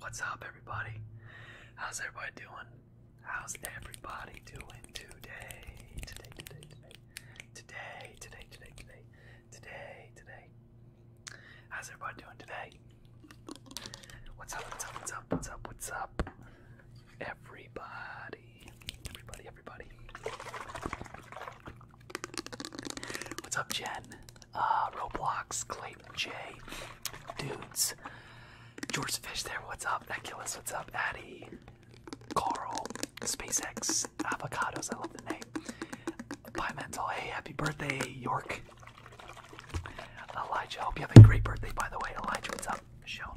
What's up, everybody? How's everybody doing? How's everybody doing today? Today, today, today, today, today, today, today, today, How's everybody doing today? What's up? What's up? What's up? What's up? What's up? Everybody, everybody, What's up, Jen? Uh, Roblox, Clayton J, Dudes, George Fish there, what's up? Eculus, what's up? Addy, Carl, SpaceX, Avocados, I love the name. Pimental, hey, happy birthday, York. Elijah, hope you have a great birthday, by the way. Elijah, what's up? Michelle.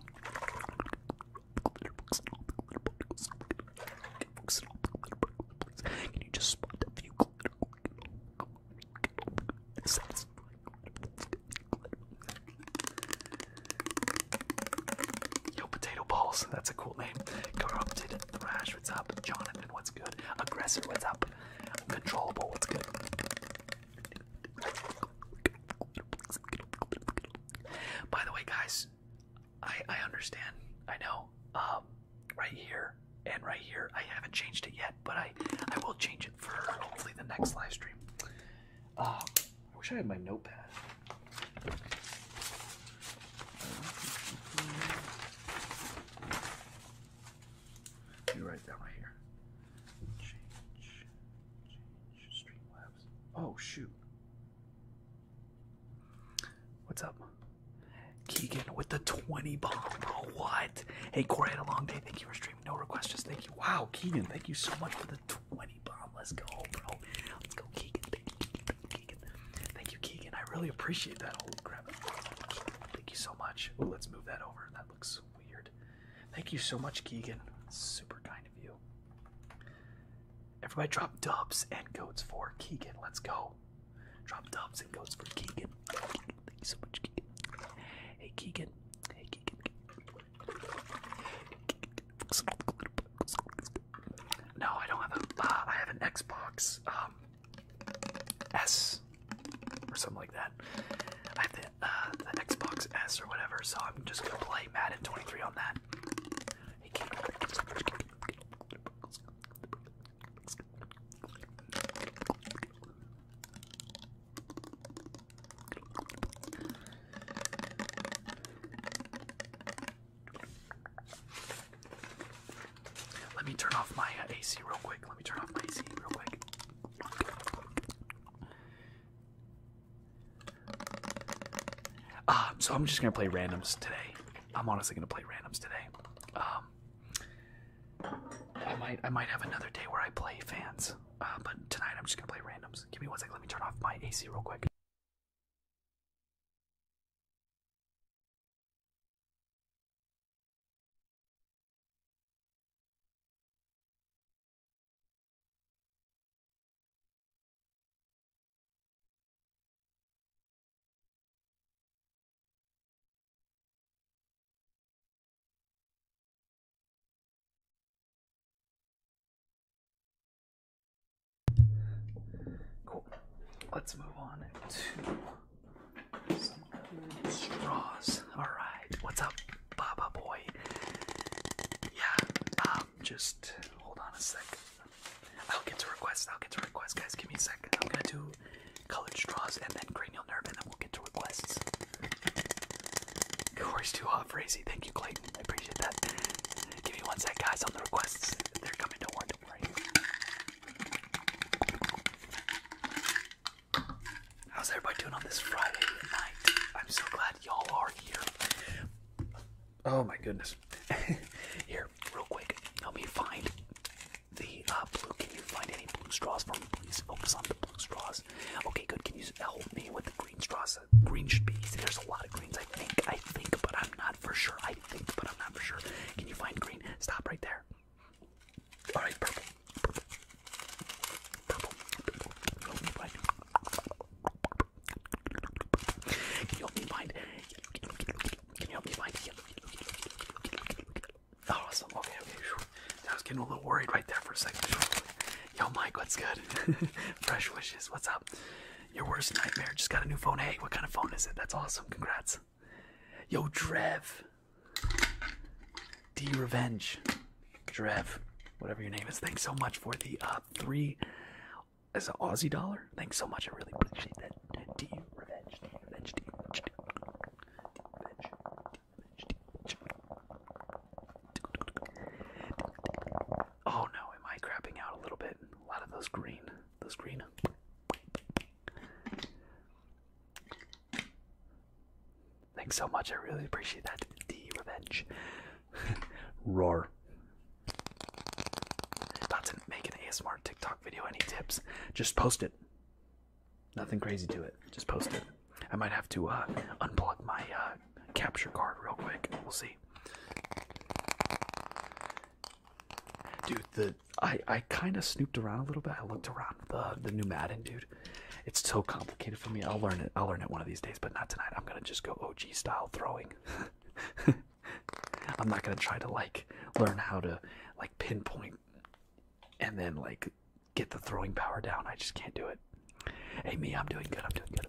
Can you just spot the few glitter? Yo, potato balls. That's a cool name. Corrupted Thrash. What's up, Jonathan? What's good? Aggressor. What's up? Uncontrollable. What's good? By the way, guys, I I understand. I know. Um, right here and right here. I haven't changed it yet, but I I will change it for hopefully the next live stream. Uh, I wish I had my notepad. You write that here. Change, change, streamlab. Oh shoot. What's up? Keegan with the 20 bomb. what? Hey, Corey had a long day. Thank you for streaming. No requests, just thank you. Wow, Keegan, thank you so much for the 20 bomb. Let's go, bro. Let's go, Keegan. Thank you, Keegan. I really appreciate that. Holy crap. Thank you so much. Oh, let's move that over. That looks weird. Thank you so much, Keegan. Super kind of you. Everybody drop dubs and goats for Keegan. Let's go. Drop dubs and goats for Keegan. Thank you so much, Keegan. Hey, Keegan. Hey, Keegan. No, I don't have a. Uh, have an Xbox um, S or something like that. I have the, uh, the Xbox S or whatever, so I'm just gonna play Madden 23 on that that. Let me turn off my uh, AC real quick. Let me turn off my AC real quick. Ah, so I'm just gonna play randoms today. I'm honestly gonna play randoms today. Um, I might I might have another day where I play fans, uh, but tonight I'm just gonna play randoms. Give me one second. Let me turn off my AC real quick. Cool. Let's move on to straws. All right. What's up, Baba Boy? Yeah. Um, just hold on a sec. I'll get to requests. I'll get to requests, guys. Give me a second. I'm gonna do colored straws and then cranial nerve, and then we'll get to requests. Corey's too hot for AC. Thank you, Clayton. I appreciate that. Give me one sec, guys, on the requests. They're coming. Don't Don't worry. How's everybody doing on this Friday night? I'm so glad y'all are here. Oh my goodness. Here, real quick, help me find the uh, blue. Can you find any blue straws for me, please? Focus on the blue straws. Okay, good. Can you help me with the green straws? Green should be easy. There's a lot of greens, I think. I think, but I'm not for sure. I think, but I'm not for sure. Can you find green? Stop right there. All right, purple. Purple. Purple. purple. Can you help me find? Can you help me find? Oh, awesome. was getting a little worried right there for a second. Yo, Mike, what's good? Fresh wishes. What's up? Your worst nightmare. Just got a new phone. Hey, what kind of phone is it? That's awesome. Congrats. Yo, Drev. D Revenge. Drev, whatever your name is, thanks so much for the uh, three as an Aussie dollar. Thanks so much. I really appreciate that. Oh no, am I crapping out a little bit? A lot of those green, those green. Thanks so much. I really appreciate that. D revenge. Roar. About to make an ASMR TikTok video. Any tips? Just post it. Nothing crazy to it. Just post it. I might have to uh, unplug my uh, capture card real quick. We'll see. Dude, the I, I kind of snooped around a little bit. I looked around the the new Madden, dude. It's so complicated for me. I'll learn it. I'll learn it one of these days but not tonight. I'm gonna just go OG style throwing. I'm not gonna try to like learn how to like pinpoint and then like get the throwing power down. I just can't do it. Hey me, I'm doing good. I'm doing good.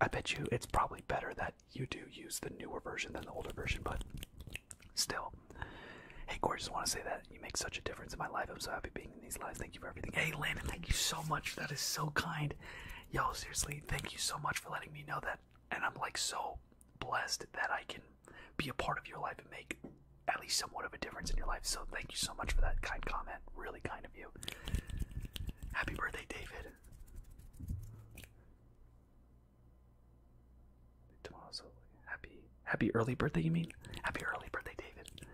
i bet you it's probably better that you do use the newer version than the older version, but still. Hey, Corey, just want to say that you make such a difference in my life. I'm so happy being in these lives. Thank you for everything. Hey, Landon, thank you so much. That is so kind. Yo, seriously, thank you so much for letting me know that. And I'm like so blessed that I can be a part of your life and make at least somewhat of a difference in your life. So thank you so much for that kind comment. Really kind of you. Happy birthday, David. Tomorrow's so happy happy early birthday you mean? Happy early birthday, David.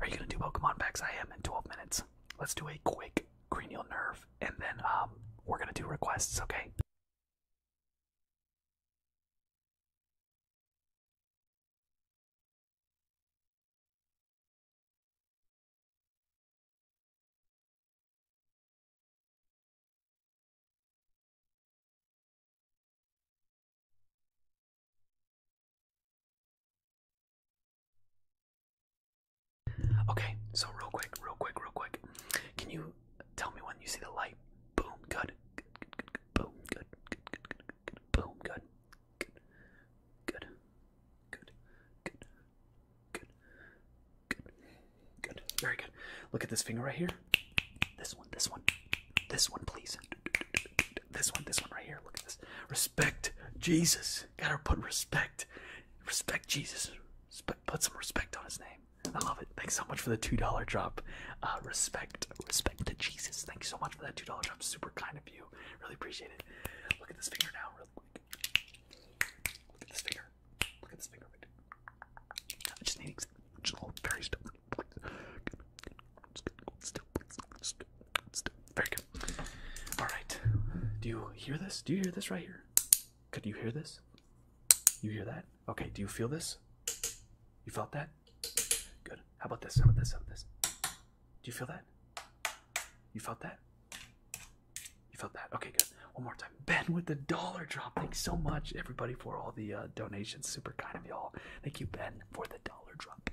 Are you gonna do Pokemon packs? I am in 12 minutes. Let's do a quick cranial nerve, and then um, we're gonna do requests, okay? Okay, so real quick, real quick, real quick. Can you tell me when you see the light? Boom, good. Good, good, good, good. Boom, good. Boom, good. Good. Good. Good. Good. Good. Good. Good. Very good. Look at this finger right here. This one, this one. This one, please. This one, this one right here. Look at this. Respect Jesus. Gotta put respect. Respect Jesus. Put some respect on his name. I love it. Thanks so much for the $2 drop. Uh, respect. Respect to Jesus. Thank you so much for that $2 drop. Super kind of you. Really appreciate it. Look at this finger now, really quick. Look at this finger. Look at this finger. I just need just very Very good. All right. Do you hear this? Do you hear this right here? Could you hear this? You hear that? Okay. Do you feel this? You felt that? Good. How about this? How about this? How about this? Do you feel that? You felt that? You felt that? Okay, good. One more time. Ben with the dollar drop. Thanks so much, everybody, for all the uh, donations. Super kind of y'all. Thank you, Ben for the dollar drop.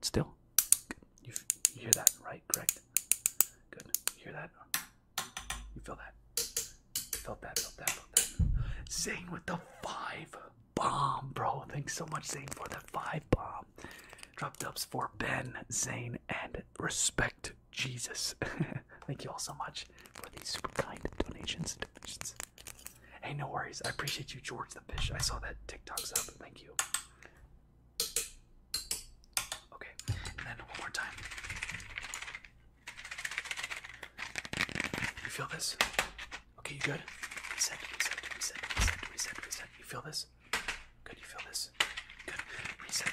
Still, you, hear that, right? Correct. Good. You hear that? You feel that? Felt that, felt that, felt that. Zane with the five bomb, bro. Thanks so much, Zane, for the five bomb. Drop dubs for Ben, Zane, and respect Jesus. Thank you all so much for these super kind donations. donations. Hey, no worries. I appreciate you, George the Fish. I saw that TikTok sub. Thank you. Okay, and then one more time. You feel this? Okay, you good? Reset, reset, reset, reset, reset, reset. You feel this? Good, you feel this? Good. Reset.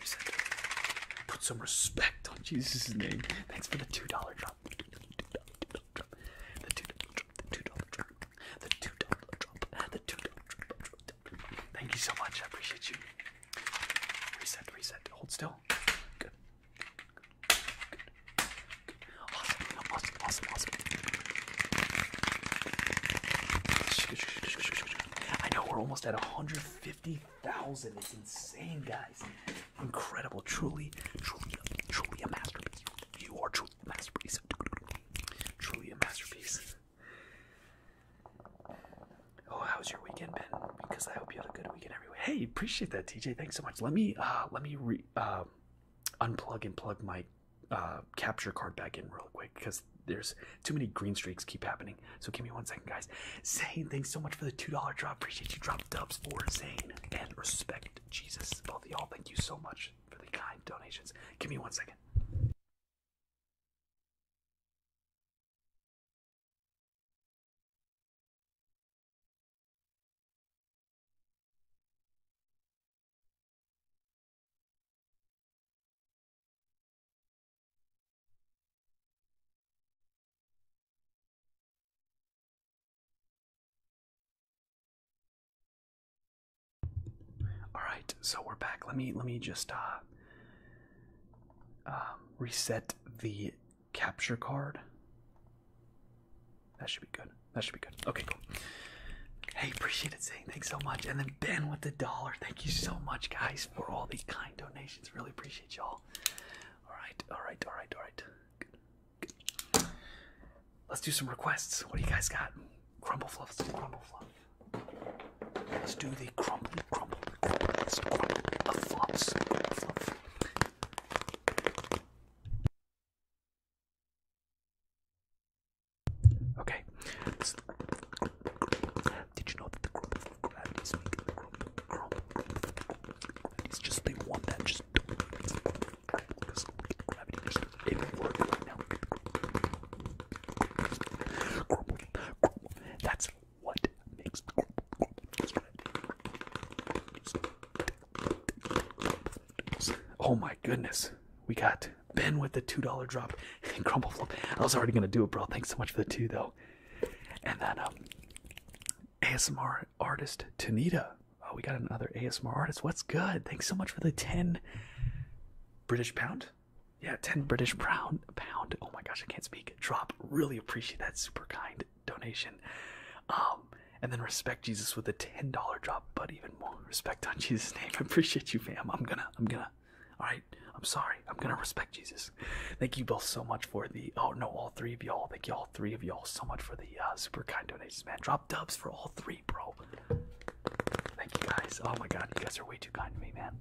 Reset. Put some respect Jesus' name. Thanks for the $2 drop. The $2 drop. The $2 drop. The $2 drop. The $2 drop. Thank you so much. I appreciate you. Reset, reset. Hold still. Good. Good. Good. Awesome. Awesome. Awesome. Awesome. I know we're almost at 150 50,000. is insane, guys. Incredible. Truly, truly, a masterpiece. You are truly a masterpiece. Truly a masterpiece. Oh, was your weekend Ben? Because I hope you had a good weekend everywhere. Hey, appreciate that, TJ. Thanks so much. Let me uh, let me um, unplug and plug my uh, capture card back in real quick because there's too many green streaks keep happening. So give me one second, guys. Zane, thanks so much for the $2 drop. Appreciate you drop dubs for Zane and respect Jesus. Both of y'all, thank you so much for the kind donations. Give me one second. All right, so we're back. Let me let me just uh, um, reset the capture card. That should be good. That should be good. Okay, cool. Hey, appreciate it, saying thanks so much. And then Ben with the dollar. Thank you so much, guys, for all the kind donations. Really appreciate y'all. All right, all right, all right, all right. Good, Let's do some requests. What do you guys got? Crumble fluff. let crumble fluff. Let's do the crumbly, crumble, crumble. let fluffs. Okay. did you know that the crumble of it's just they want that. Just don't work right now. That's what makes the Oh my goodness. We got Ben with the $2 drop and crumble flop. I was already gonna do it, bro. Thanks so much for the two though. And then um ASMR artist Tanita. Oh, we got another ASMR artist. What's good? Thanks so much for the 10 British pound. Yeah, 10 British pound pound. Oh my gosh, I can't speak. Drop. Really appreciate that super kind donation. Um, and then respect Jesus with a $10 drop, but even more respect on Jesus' name. I appreciate you, fam. I'm gonna, I'm gonna. All right, I'm sorry. I'm gonna respect Jesus. Thank you both so much for the oh no, all three of y'all. Thank you all three of y'all so much for the uh, super kind donations, man. Drop dubs for all three, bro. Thank you guys. Oh my god, you guys are way too kind to me, man.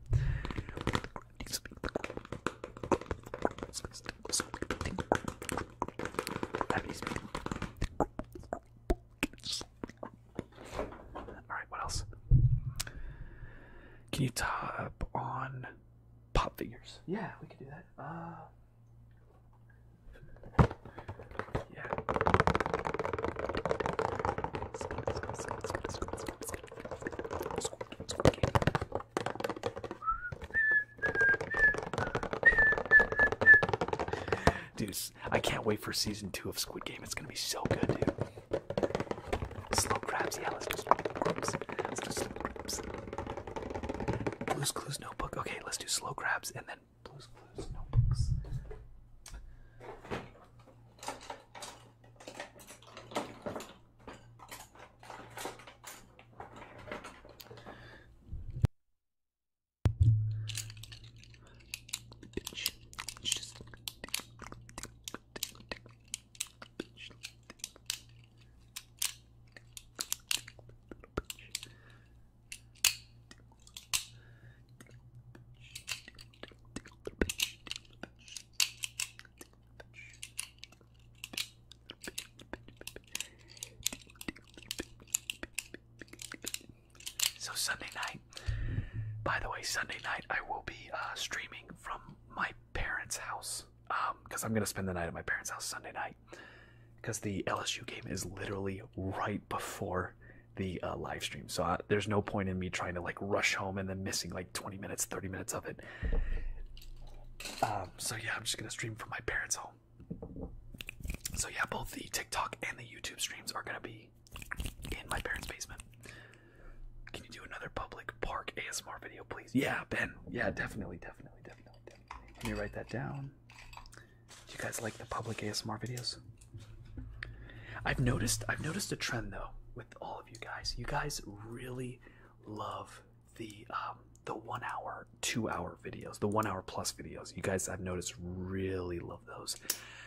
All right, what else? Can you tap on pop figures. Yeah, we could do that. Uh, yeah. Dude, I can't wait for season two of Squid Game. It's gonna be so good, dude. Slow crabs, yeah, let's do slow crabs. Let's do slow Clues notebook. Okay, let's do slow crabs and then Blue's Clues notebooks. So Sunday night, by the way, Sunday night I will be uh, streaming from my parents' house because um, I'm gonna spend the night at my parents' house Sunday night because the LSU game is literally right before the uh, live stream. So uh, there's no point in me trying to like rush home and then missing like 20 minutes, 30 minutes of it. Um, so yeah, I'm just gonna stream from my parents' home. So yeah, both the TikTok and the YouTube streams are gonna be in my parents' basement. Can you do another public park ASMR video, please? Yeah, Ben. Yeah, definitely, definitely, definitely, definitely. Let me write that down. Do you guys like the public ASMR videos? I've noticed I've noticed a trend though with all of you guys. You guys really love the um, the one hour, two hour videos, the one hour plus videos. You guys I've noticed really love those.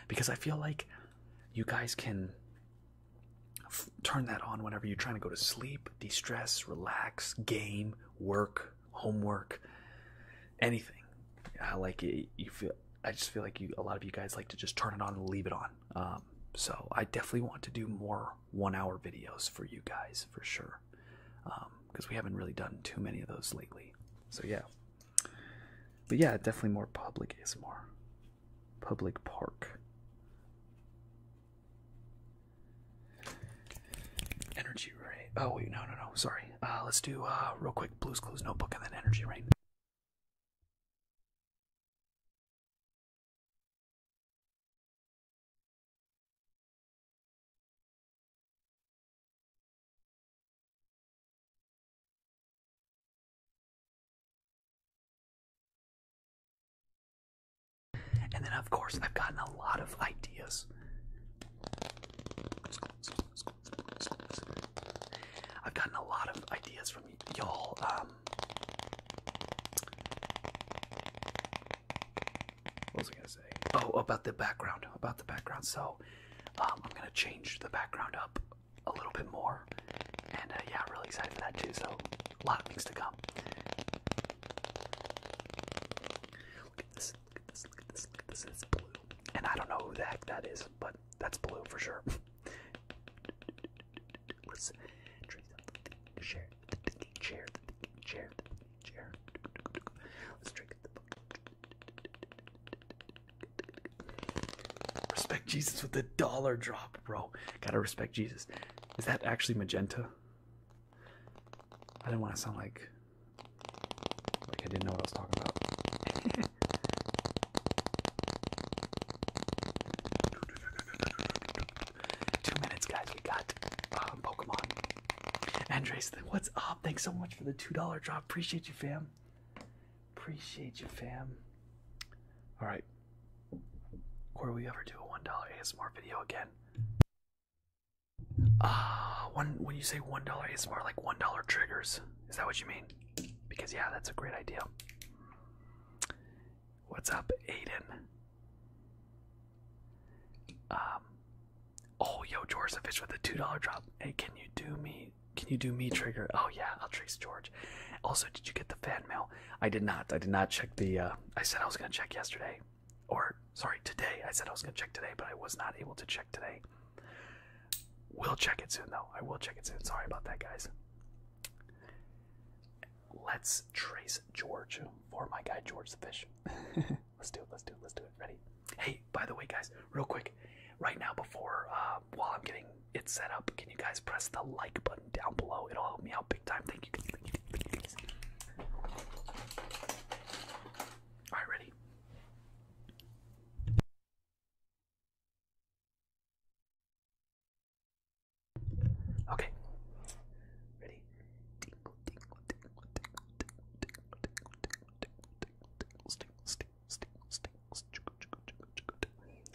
Because I feel like you guys can turn that on whenever you're trying to go to sleep, de stress, relax, game, work, homework, anything. I like it. You feel. I just feel like you. A lot of you guys like to just turn it on and leave it on. Um, so I definitely want to do more one-hour videos for you guys for sure, because um, we haven't really done too many of those lately. So yeah. But yeah, definitely more public is more. Public park. Energy Ray. Oh wait, no, no, no. Sorry. Uh, let's do uh, real quick. Blue's Clues Notebook and then Energy Rain. And then, of course, I've gotten a lot of ideas. I've gotten a lot of ideas from y'all. Um, what was I gonna say? Oh, about the background. About the background. So, um, I'm gonna change the background up a little bit more more. And uh, yeah, I'm really excited for that too. So a lot of things to come. Look at this. Look at this. Look at this. Look at this. It's blue. And I don't know who the heck that is, but that's blue for sure. Let's share the thinking chair, the thinking chair, the thinking chair. Let's drink the book. Respect Jesus with the dollar drop, bro. Gotta respect Jesus. Is that actually magenta? I didn't want to sound like like I didn't know what I was talking about. two minutes, guys. We got um, Pokemon. Andres, what's up? Thanks so much for the two dollar drop. Appreciate you, fam. Appreciate you, fam. All right. Or we ever do a one dollar ASMR video again? Ah, one when you say one dollar ASMR, like one dollar triggers. Is that what you mean? Because yeah, that's a great idea. What's up, Aiden? Um, oh, yo, George the fish with the two dollar drop. Hey, can you do me? Can you do me trigger? Oh yeah, I'll trace George. Also, did you get the fan mail? I did not. I did not check the. Uh, I said I was going to check yesterday, or sorry, today. I said I was going to check today, but I was not able to check today. We'll check it soon, though. I will check it soon. Sorry about that, guys. Let's trace George for my guy George the Fish. let's do it. Let's do it. Let's do it. Ready? Hey, by the way, guys, real quick, right now before uh, while I'm getting it's set up, can you guys press the like button down below? It'll help me out big time. Thank you. All right, ready? Okay. Ready?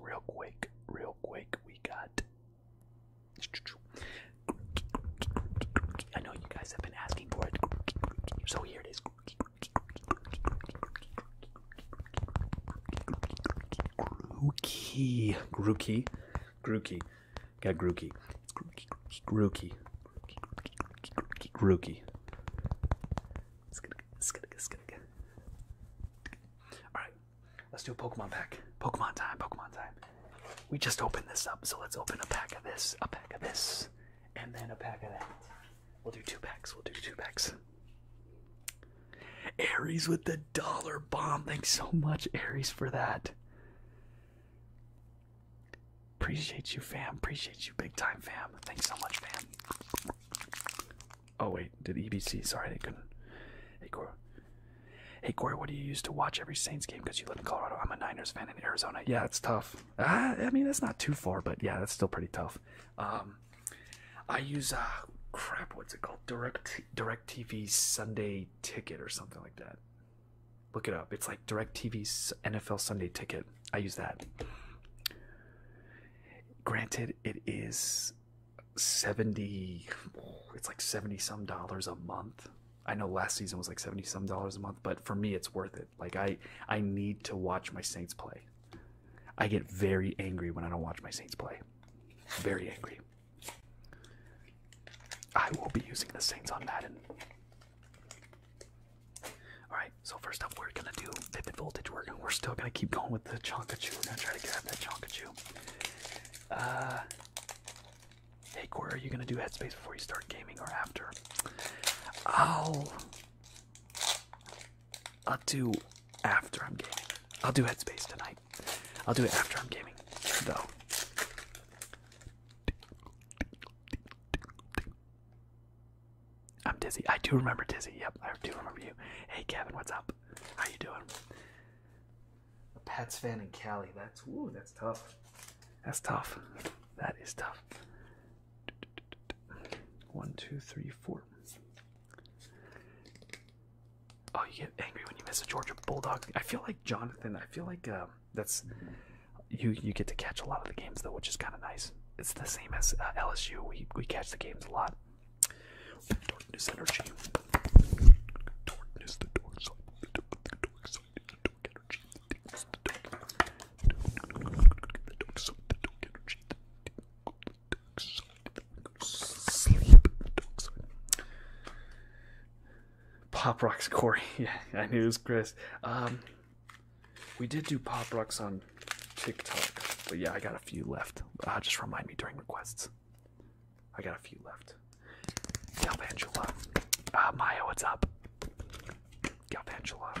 Real quick, real quick, we got. I know you guys have been asking for it, so here it is. Grookey. Grookey. Grookey. Got Grookey. Grookey. Grookey. Grookey. Grookey. Alright, let's do a Pokemon pack. Pokemon time, Pokemon time. We just opened this up, so let's open a pack of this, a pack of this, and then a pack of that. We'll do two packs, we'll do two packs. Aries with the dollar bomb. Thanks so much, Aries, for that. Appreciate you, fam. Appreciate you big time, fam. Thanks so much, fam. Oh, wait. Did EBC? Sorry, I couldn't. Hey, Corey. Hey, Corey, what do you use to watch every Saints game? Because you live in Colorado. I'm a Niners fan in Arizona. Yeah, it's tough. Uh, I mean, that's not too far, but yeah, that's still pretty tough. Um, I use a uh, crap. What's it called? Direct Direct TV Sunday Ticket or something like that. Look it up. It's like Direct TV's NFL Sunday Ticket. I use that. Granted, it is seventy. It's like seventy some dollars a month. I know last season was like seventy some dollars a month, but for me, it's worth it. Like I, I need to watch my Saints play. I get very angry when I don't watch my Saints play. Very angry. I will be using the Saints on Madden. Alright, so first up, we're gonna do Vivid Voltage. We're, we're still gonna keep going with the Chonkachu. We're gonna try to grab that Chonkachu. Uh, hey, Corey, are you gonna do Headspace before you start gaming or after? I'll. I'll do after I'm gaming. I'll do Headspace tonight. I'll do it after I'm gaming, though. I'm dizzy. I do remember dizzy. Yep, I do remember you. Hey, Kevin, what's up? How you doing? A Pats fan in Cali. That's woo. that's tough. That's tough. That is tough. One, two, three, four. Oh, you get angry when you miss a Georgia Bulldog. I feel like Jonathan. I feel like that's you. You get to catch a lot of the games though, which is kind of nice. It's the same as LSU. We we catch the games a lot. Darkness energy. Darkness, the dark Pop rocks, Corey. Yeah, I knew it was Chris. Um, we did do pop rocks on TikTok, but yeah, I got a few left. Uh, just remind me during requests. I got a few left. Galvantula. Uh, Maya, what's up? Galvantula.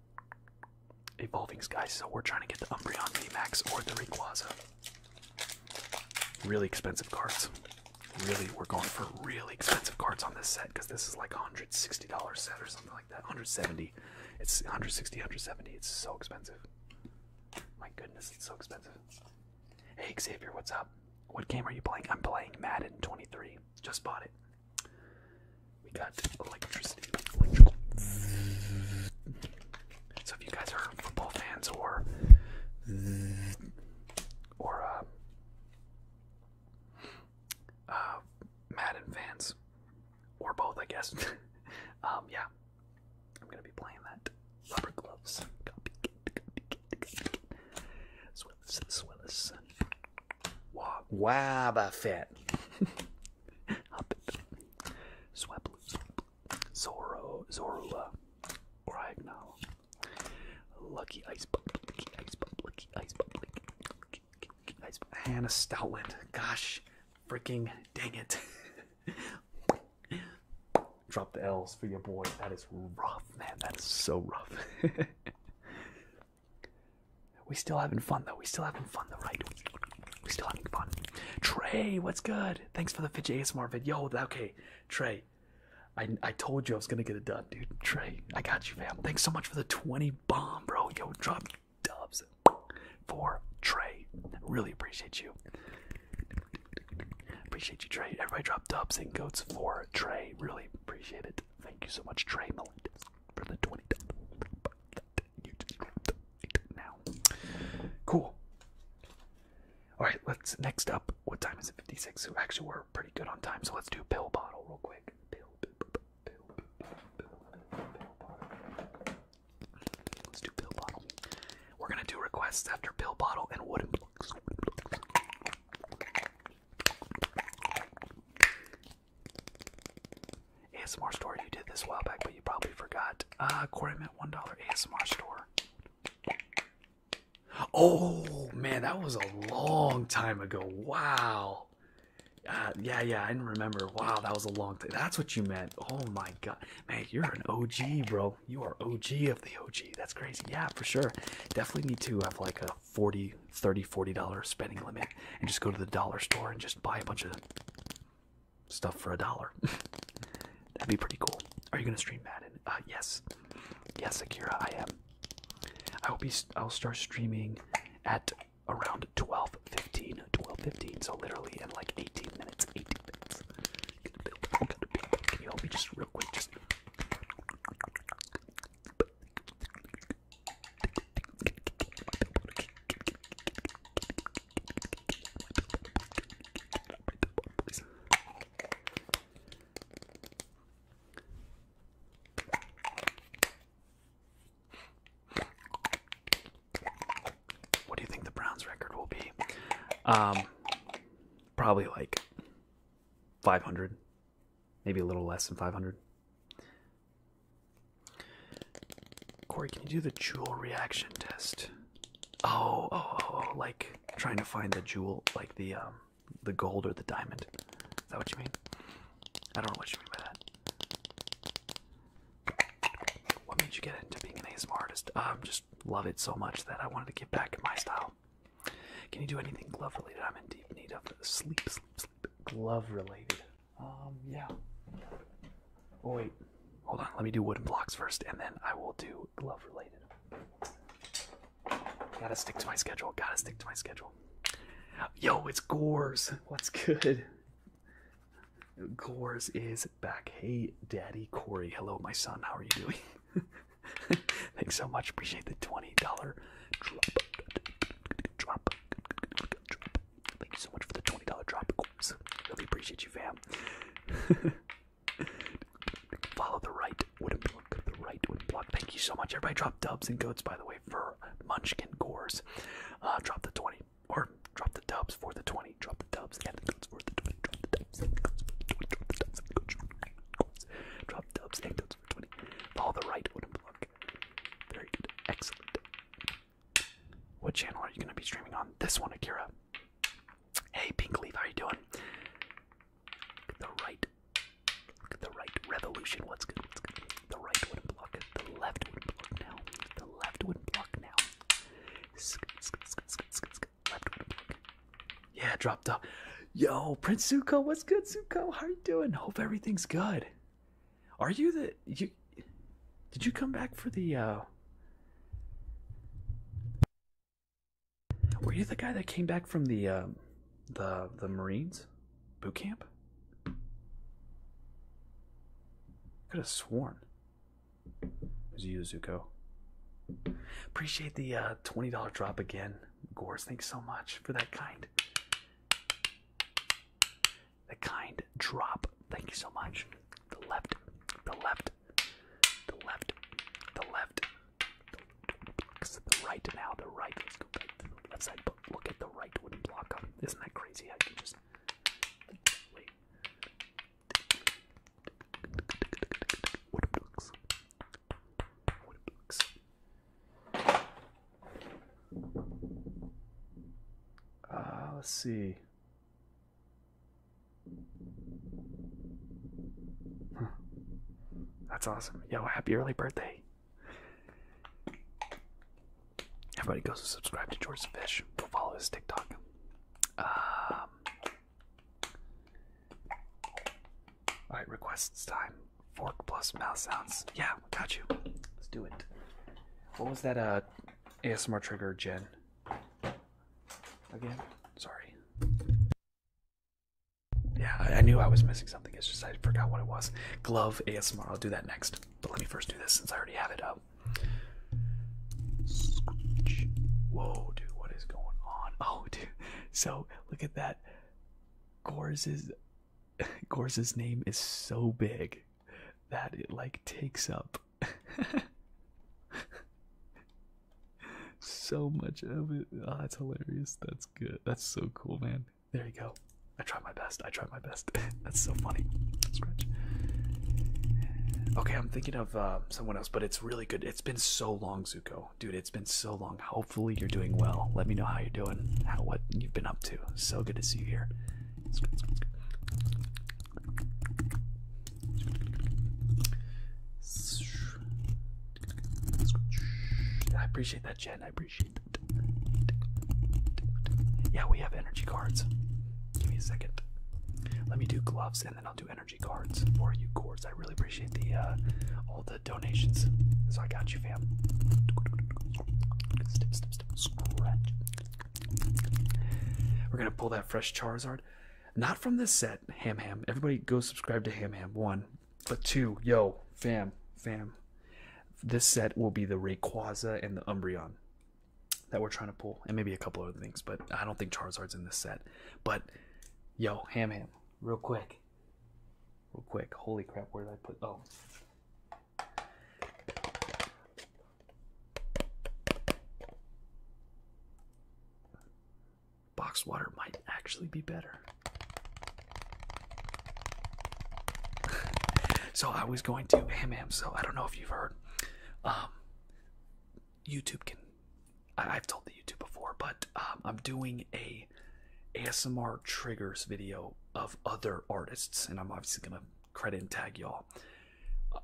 evolving skies, so we're trying to get the Umbreon VMAX or the Rayquaza. Really expensive cards. Really, we're going for really expensive cards on this set because this is like a $160 set or something like that. 170 It's 160 170 It's so expensive. My goodness, it's so expensive. Hey Xavier, what's up? What game are you playing? I'm playing Madden 23. Just bought it. We got electricity, So if you guys are football fans or or uh, uh, Madden fans, or both, I guess. Um, yeah, I'm gonna be playing that. Rubber gloves. Copycat, copycat, Wabafet. Up it. Sweplu. Zoro. Zorua. Grignal. Lucky Ice Bub. Lucky Ice Bub. Lucky Ice Bub. Lucky, lucky, lucky Ice Bub. Hannah Stoutland. Gosh. Freaking dang it. Drop the L's for your boy. That is rough, man. That is so rough. We still having fun though. We still having fun the right? We still having fun. Trey, what's good? Thanks for the fidget ASMR vid. okay, Trey. I I told you I was gonna get it done, dude. Trey, I got you, fam. Thanks so much for the 20 bomb, bro. Yo, drop dubs for Trey. Really appreciate you. Appreciate you, Trey. Everybody drop dubs and goats for Trey. Really appreciate it. Thank you so much, Trey Melendez, for the 20 dubs now. Cool. Alright, let's next up. What time is it? 56. So actually we're pretty good on time, so let's do pill bottle real quick. Let's do pill bottle. We're gonna do requests after pill bottle and wooden blocks. ASMR store, you did this a while back, but you probably forgot. Ah, uh, Corey meant $1 ASMR store. Oh man, that was a long time ago. Wow. Uh, yeah, yeah, I didn't remember. Wow, that was a long time. That's what you meant. Oh my god, man, you're an OG, bro. You are OG of the OG. That's crazy. Yeah, for sure. Definitely need to have like a 40 30 40 dollar spending limit and just go to the dollar store and just buy a bunch of stuff for a dollar that'd be pretty cool are you gonna stream madden uh yes yes akira i am i hope he's i'll start streaming at around 12 15 12 15 so literally in like 18 minutes 18 minutes can you help me just real quick just what do you think the Browns record will be? Um, probably like 500 maybe a little less than 500. Corey, can you do the jewel reaction test? Oh, oh, oh, oh, like trying to find the jewel, like the um, the gold or the diamond. Is that what you mean? I don't know what you mean by that. What made you get into being an artist? Um, just love it so much that I wanted to get back in my style. Can you do anything glove related? I'm in deep need of sleep, sleep, sleep. Glove related. Um, yeah. Oh, wait. Hold on. Let me do wooden blocks first, and then I will do glove related. Gotta stick to my schedule. Gotta stick to my schedule. Yo, it's Gores. What's good? Gores is back. Hey, Daddy Corey. Hello, my son. How are you doing? Thanks so much. Appreciate the $20 drop. Drop. Thank you so much for the twenty dollar drop. Oops. Really appreciate you, fam. Follow the right wooden block. The right wooden block. Thank you so much, everybody. Drop dubs and goats, by the way, for Munchkin Gores. Uh, drop the twenty or drop the dubs for the twenty. Drop the dubs and the goats for the twenty. Drop the dubs and the goats for the twenty. Drop the dubs and goats. Drop dubs and goats for twenty. Follow the right wooden block. Very good. Excellent. What channel are you going to be streaming on? This one, Akira. Hey, Pink Leaf, how you doing? Look at the right. Look at the right. Revolution. What's good? What's good? The right wooden block. The left wooden block now. The left wouldn't block now. Yeah, dropped up. Yo, Prince Zuko, what's good, Zuko? How are you doing? Hope everything's good. Are you the you? Did you come back for the? uh Were you the guy that came back from the um, the the Marines boot camp? Could have sworn it was you, Zuko. Appreciate the uh, twenty dollar drop again, Gores. Thanks so much for that kind. The kind drop. Thank you so much. The left. The left. The left. The left. The, the right now. The right. Let's go back to the left side. But look at the right wouldn't block up. Isn't that crazy? I can just uh, let's see. That's awesome. Yo, happy early birthday. Everybody go subscribe to George Fish. Go follow his TikTok. Um, Alright, requests time. Fork plus mouth sounds. Yeah, got you. Let's do it. What was that uh, ASMR trigger, Jen? Again? Sorry. Yeah, I, I knew I was missing something. It's just I forgot what it was. Glove ASMR. I'll do that next. But let me first do this since I already have it up. Whoa, dude, what is going on? Oh, dude. So, look at that. Gores is Gorza's name is so big that it like takes up so much of it. Oh, that's hilarious. That's good. That's so cool, man. There you go. I tried my best. I tried my best. that's so funny. Okay, I'm thinking of uh, someone else, but it's really good. It's been so long, Zuko. Dude, it's been so long hopefully you're doing well. Let me know how you're doing, how what you've been up to. So good to see you here. I appreciate that, Jen. I appreciate that. Yeah, we have energy cards. Give me a second. Let me do gloves and then I'll do energy cards for you, Cords. I really appreciate the uh, all the the donations. So I got you, fam. We're gonna pull that fresh Charizard. Not from this set, Ham Ham. Everybody go subscribe to Ham Ham. One. But two, yo, fam, fam. This set will be the Rayquaza and the Umbreon that we're trying to pull. And maybe a couple other things, but I don't think Charizard's in this set. But yo, Ham Ham, real quick. Real quick. Holy crap, where did I put oh Box water might actually be better. so I was going to ham ham. So I don't know if you've heard. Um, YouTube can. I, I've told the YouTube before, but um, I'm doing a ASMR triggers video of other artists, and I'm obviously gonna credit and tag y'all. Uh,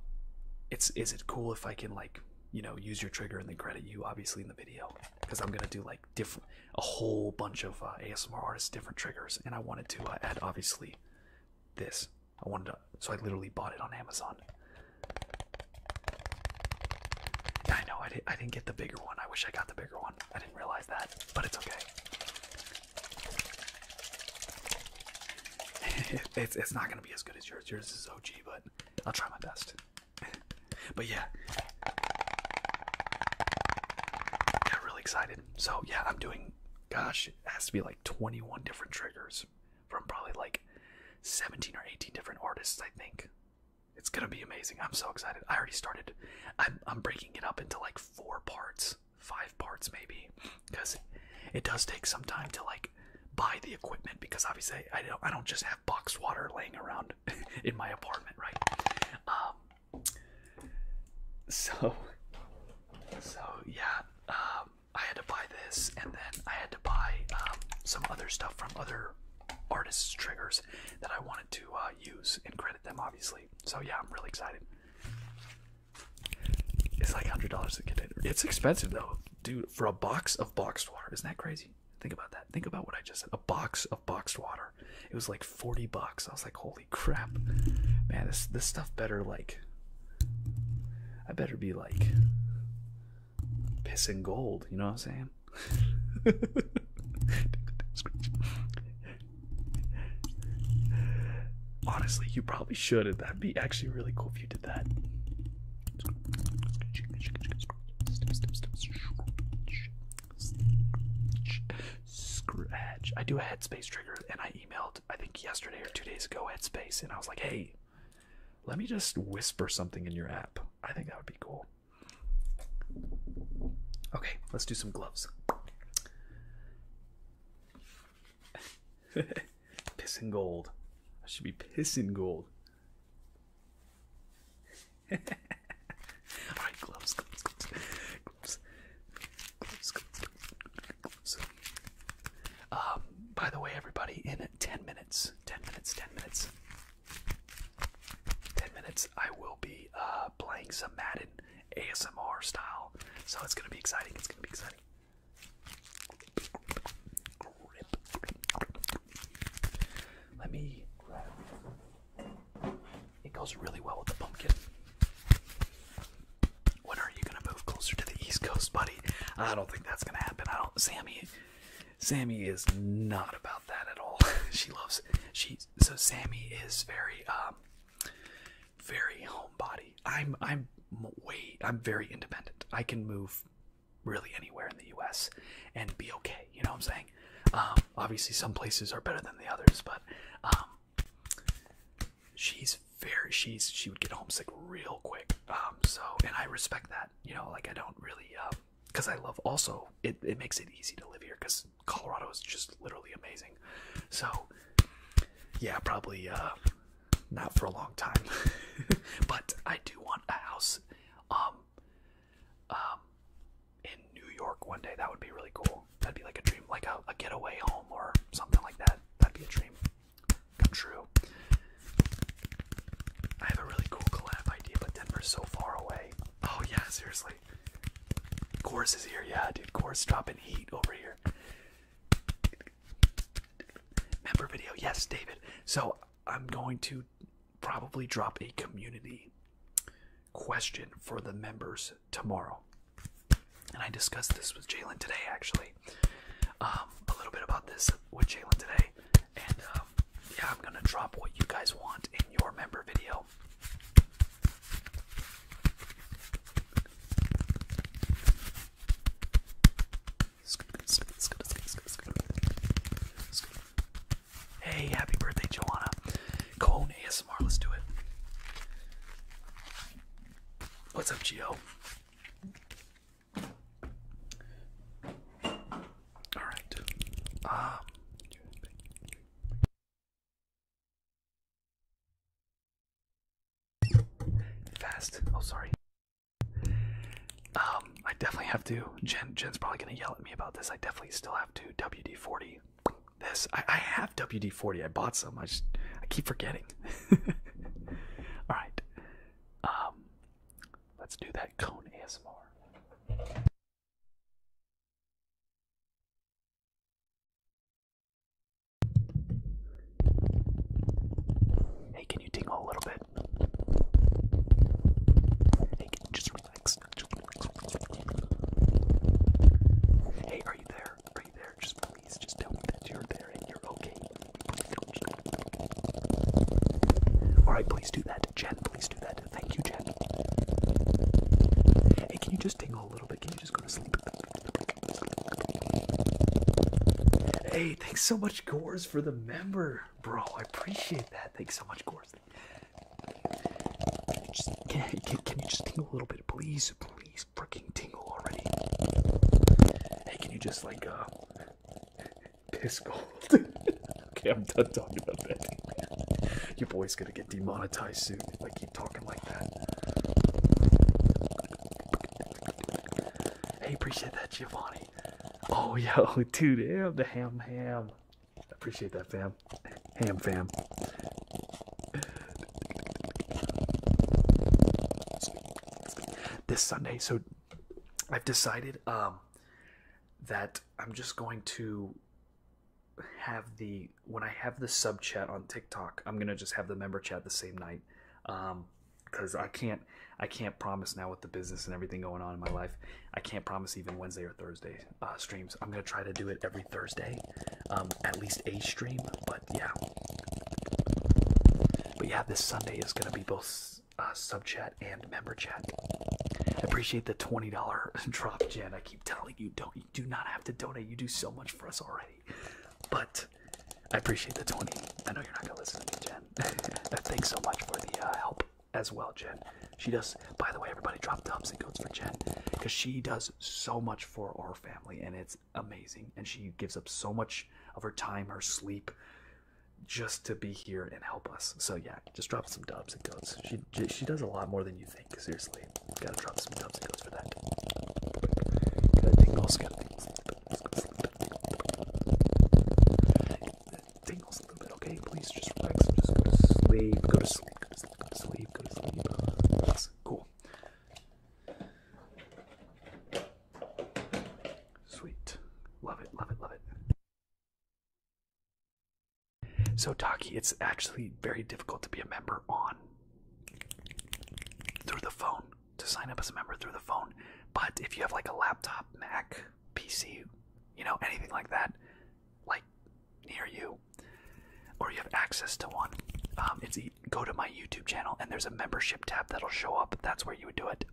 it's is it cool if I can like you know use your trigger and then credit you obviously in the video because I'm gonna do like different a whole bunch of uh, ASMR artists different triggers, and I wanted to uh, add obviously this. I wanted to, so I literally bought it on Amazon. I know I didn't I didn't get the bigger one. I wish I got the bigger one. I didn't realize that, but it's okay. it's it's not gonna be as good as yours. Yours is OG, but I'll try my best. but yeah. Got really excited. So yeah, I'm doing gosh, it has to be like 21 different triggers from probably like 17 or 18 different artists, I think. It's gonna be amazing. I'm so excited. I already started I'm, I'm breaking it up into like four parts, five parts maybe, because it does take some time to like buy the equipment because obviously I don't I don't just have boxed water laying around in my apartment, right? Um, so so yeah, um, I had to buy this and then I had to buy um, some other stuff from other artists' triggers that I wanted to uh, use in Crazy them, obviously. So yeah, I'm really excited. It's like hundred dollars to get it. It's expensive though, dude. For a box of boxed water, isn't that crazy? Think about that. Think about what I just said. A box of boxed water. It was like forty bucks. I was like, holy crap, man. This this stuff better like. I better be like pissing gold. You know what I'm saying? Honestly, you probably should. That'd be actually really cool if you did that. Scratch. I do a headspace trigger, and I emailed, I think yesterday or two days ago, headspace, and I was like, hey, let me just whisper something in your app. I think that would be cool. Okay, let's do some gloves. pissing gold. I should be pissing gold. Alright, gloves, gloves, gloves, gloves, gloves, gloves. Um, by the way, everybody, in 10 minutes, 10 minutes, 10 minutes, 10 minutes, I will be uh, playing some Madden ASMR style. So it's gonna be exciting. It's gonna be exciting. Let me it. It goes really well with the pumpkin. When are you gonna move closer to the East Coast, buddy? I don't think that's gonna happen. I don't. Sammy, Sammy is not about that at all. she loves she so Sammy is very um very homebody. I'm I'm way I'm very independent. I can move really anywhere in the US and be okay, you know what I'm saying? Um obviously some places are better than the others, but um she's very she's she would get homesick real quick. Um so and I respect that. You know, like I don't really um because I love also it, it makes it easy to live here because Colorado is just literally amazing. So yeah, probably uh, not for a long time, but I do want a house um, um, in New York one day. That would be really cool. That'd be like a dream, like a, a getaway home or something like that. That'd be a dream come true. I have a really cool collab idea, but Denver's so far away. Oh yeah, seriously. Chorus is here, yeah, dude. Chorus dropping heat over here. Member video, yes, David. So I'm going to probably drop a community question for the members tomorrow. And I discussed this with Jalen today, actually. Um, a little bit about this with Jalen today. And um, yeah, I'm going to drop what you guys want in your member video. Hey, happy birthday, Joanna. Cone ASMR, let's do it. What's up, Geo? All right. Um, Fast. Oh, sorry. Um, I definitely have to. Jen, Jen's probably gonna yell at me about this. I definitely still have to WD-40. This I, I have WD-40. I bought some. I just I keep forgetting. All right. Um, let's do that cone ASMR. Hey, can you tingle a little bit? Hey, Just relax. Hey, are you there? Are you there? Just please, just tell me that you're there and you're okay. Alright, please do that. Jen. Please do that. Thank you, Jen. Hey, can you just tingle a little bit? Can you just go to sleep? Hey, thanks so much, Gores, for the member, bro. I appreciate that. Thanks so much, Gores. can, can you just tingle a little bit, please? Please, freaking tingle already. Hey, can you just like uh, piss gold? Okay, I'm done talking about that. Your boy's gonna get demonetized soon if I keep talking like that. Hey, appreciate that, Giovanni. Oh, yo, dude, damn the ham, ham. Appreciate that, fam. Ham, fam. This Sunday, so I've decided um that I'm just going to have the when I have the sub chat on TikTok, I'm gonna just have the member chat the same night, because um, I can't I can't promise now with the business and everything going on in my life. I can't promise even Wednesday or Thursday uh, streams. I'm gonna try to do it every Thursday, um, at least a stream. But yeah, but yeah, this Sunday is gonna be both uh, sub chat and and member chat. Appreciate the twenty dollar drop, Jen. I keep telling you, don't you do not have to donate. You do so much for us already. But I appreciate the twenty. I know you're not gonna listen to me, Jen. Thanks so much for the uh, help as well, Jen. She does. By the way, everybody, drop thumbs and goats for Jen because she does so much for our family, and it's amazing. And she gives up so much of her time, her sleep, just to be here and help us. So yeah, that. Just drop some dubs and goats. She she does a lot more than you think. Seriously, gotta drop some dubs and goats for that. Gotta tingles, gotta tingles, tingles a little bit. Okay, please just relax. And just go to sleep. Go to sleep. Go to sleep. Go to sleep. Go to sleep. Yes, cool. Sweet. Love it. Love it. Love it. So Taki, it's actually very difficult to be a member on through the phone to sign up as a member through the phone. But if you have like a laptop, Mac, PC, you know, anything like that, like near you, or you have access to one, um, it's go to my YouTube channel and there's a membership tab that'll show up. That's where you would do it.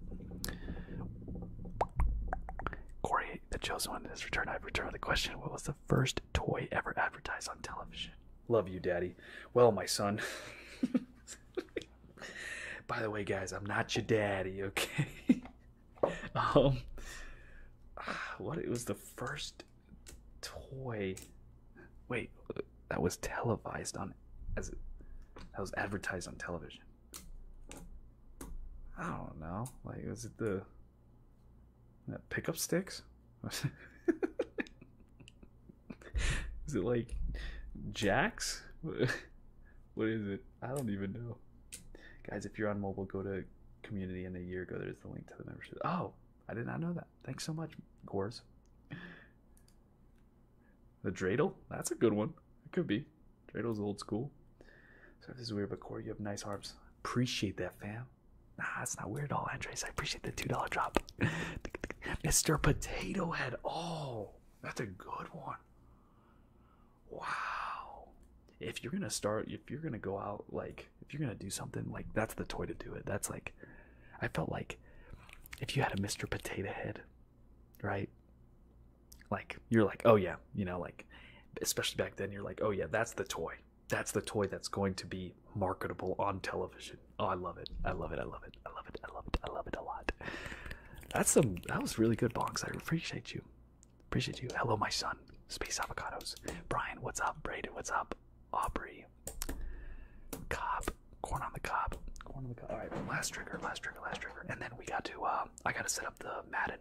Corey by the chosen one in his return, I return with the question: What was the first toy ever advertised on television? Love you, Daddy. Well, my son. by the way, guys, I'm not your daddy, okay? um, ah, what? It was the first toy. Wait, that was televised on as that was advertised on television. I don't know. Like, was it the that Pickup sticks? is it like jacks? what is it? I don't even know. Guys, if you're on mobile, go to community and a year ago. There's the link to the membership. Oh, I did not know that. Thanks so much, Gores. The dreidel? That's a good one. It could be. Dreidels old school. So this is weird, but Corey, you have nice arms. Appreciate that, fam. Nah, it's not weird at all, Andres. I appreciate the two dollar drop. Mr. Potato Head. Oh, that's a good one. Wow. If you're gonna start, if you're gonna go out, like if you're gonna do something, like that's the toy to do it. That's like, I felt like, if you had a Mr. Potato Head, right, like you're like, oh yeah, you know, like especially back then, you're like, oh yeah, that's the toy. That's the toy that's going to be marketable on television. Oh, I love it. I love it. I love it. I love it. I love it. I love it a lot. That's some that was really good box. I appreciate you. Appreciate you. Hello, my son. Space avocados. Brian, what's up? Braden, what's up? Aubrey. Cobb. Corn on the cob. Alright, last trigger, last trigger, last trigger. And then we got to uh, I gotta set up the Madden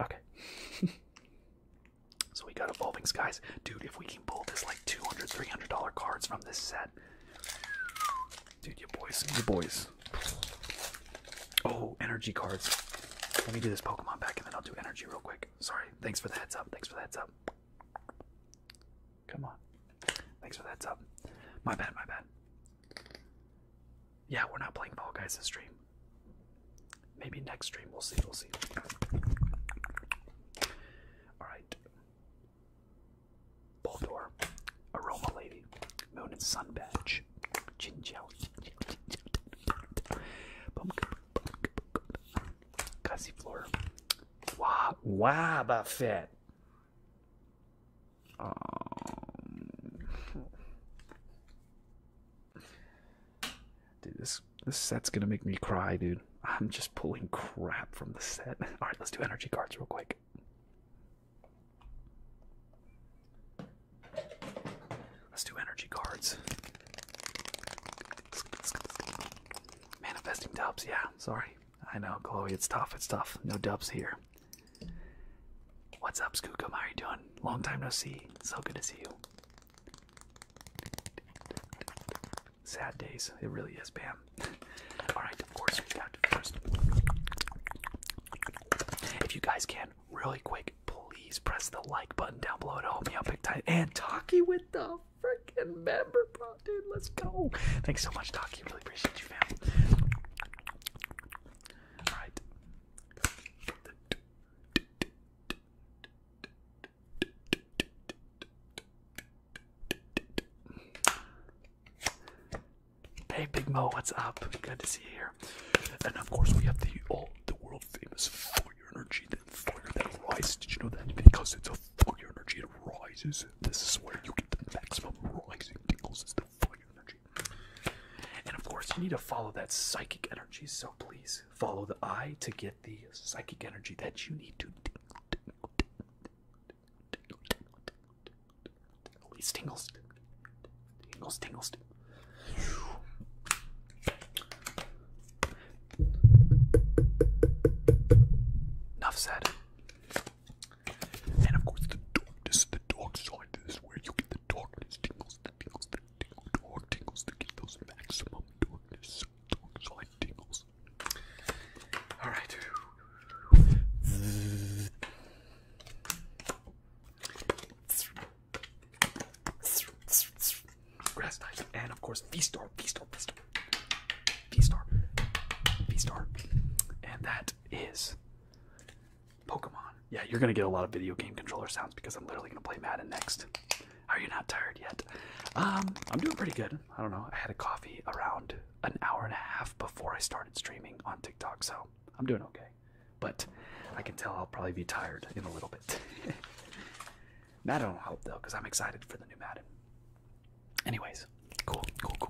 Okay. so we got Evolving Skies. Dude, if we can pull this like $200, $300 cards from this set. Dude, your boys. Your boys. Oh, energy cards. Let me do this Pokemon back and then I'll do energy real quick. Sorry. Thanks for the heads up. Thanks for the heads up. Come on. Thanks for the heads up. My bad, my bad. Yeah, we're not playing ball, Guys this stream. Maybe next stream, we'll see, we'll see. Alright. Boldor, Aroma Lady, Moon and Sun Badge, Jin Jiao, Floor, Wah, Wabafet, um, dude, this this set's gonna make me cry, dude. I'm just pulling crap from the set. All right, let's do energy cards real quick. Let's do energy cards. Manifesting dubs, yeah. Sorry, I know, Chloe. It's tough. It's tough. No dubs here. What's up, Skookum? How are you doing? Long time no see. So good to see you. Sad days. It really is, Bam. Alright, of course, we got to first. If you guys can, really quick, please press the like button down below to help me out big time. And Taki with the freaking member, bro, dude. Let's go. Thanks so much, Taki. Really appreciate you, fam. Hey Big Mo, what's up? Good to see you here. And of course we have the all the world famous fire energy, that fire that rises. Did you know that? Because it's a fire energy, it rises. This is where you get the maximum rising tingles is for your energy. And of course, you need to follow that psychic energy, so please follow the eye to get the psychic energy that you need to at least tingles. Tingles, tingles. Enough said. And of course, the darkness, the dark side is where you get the darkness tingles, the tingles, the tingle, tingles to get maximum darkness, dark side tingles. All right. Grass and of course, V star, V star, V star, V star, V star, and that is Pokemon. Yeah, you're gonna get a lot of video game controller sounds because I'm literally gonna play Madden next. Are you not tired yet? Um, I'm doing pretty good. I don't know. I had a coffee around an hour and a half before I started streaming on TikTok, so I'm doing okay. But I can tell I'll probably be tired in a little bit. Madden will help though, because I'm excited for the new Madden. Anyways, cool, cool, cool.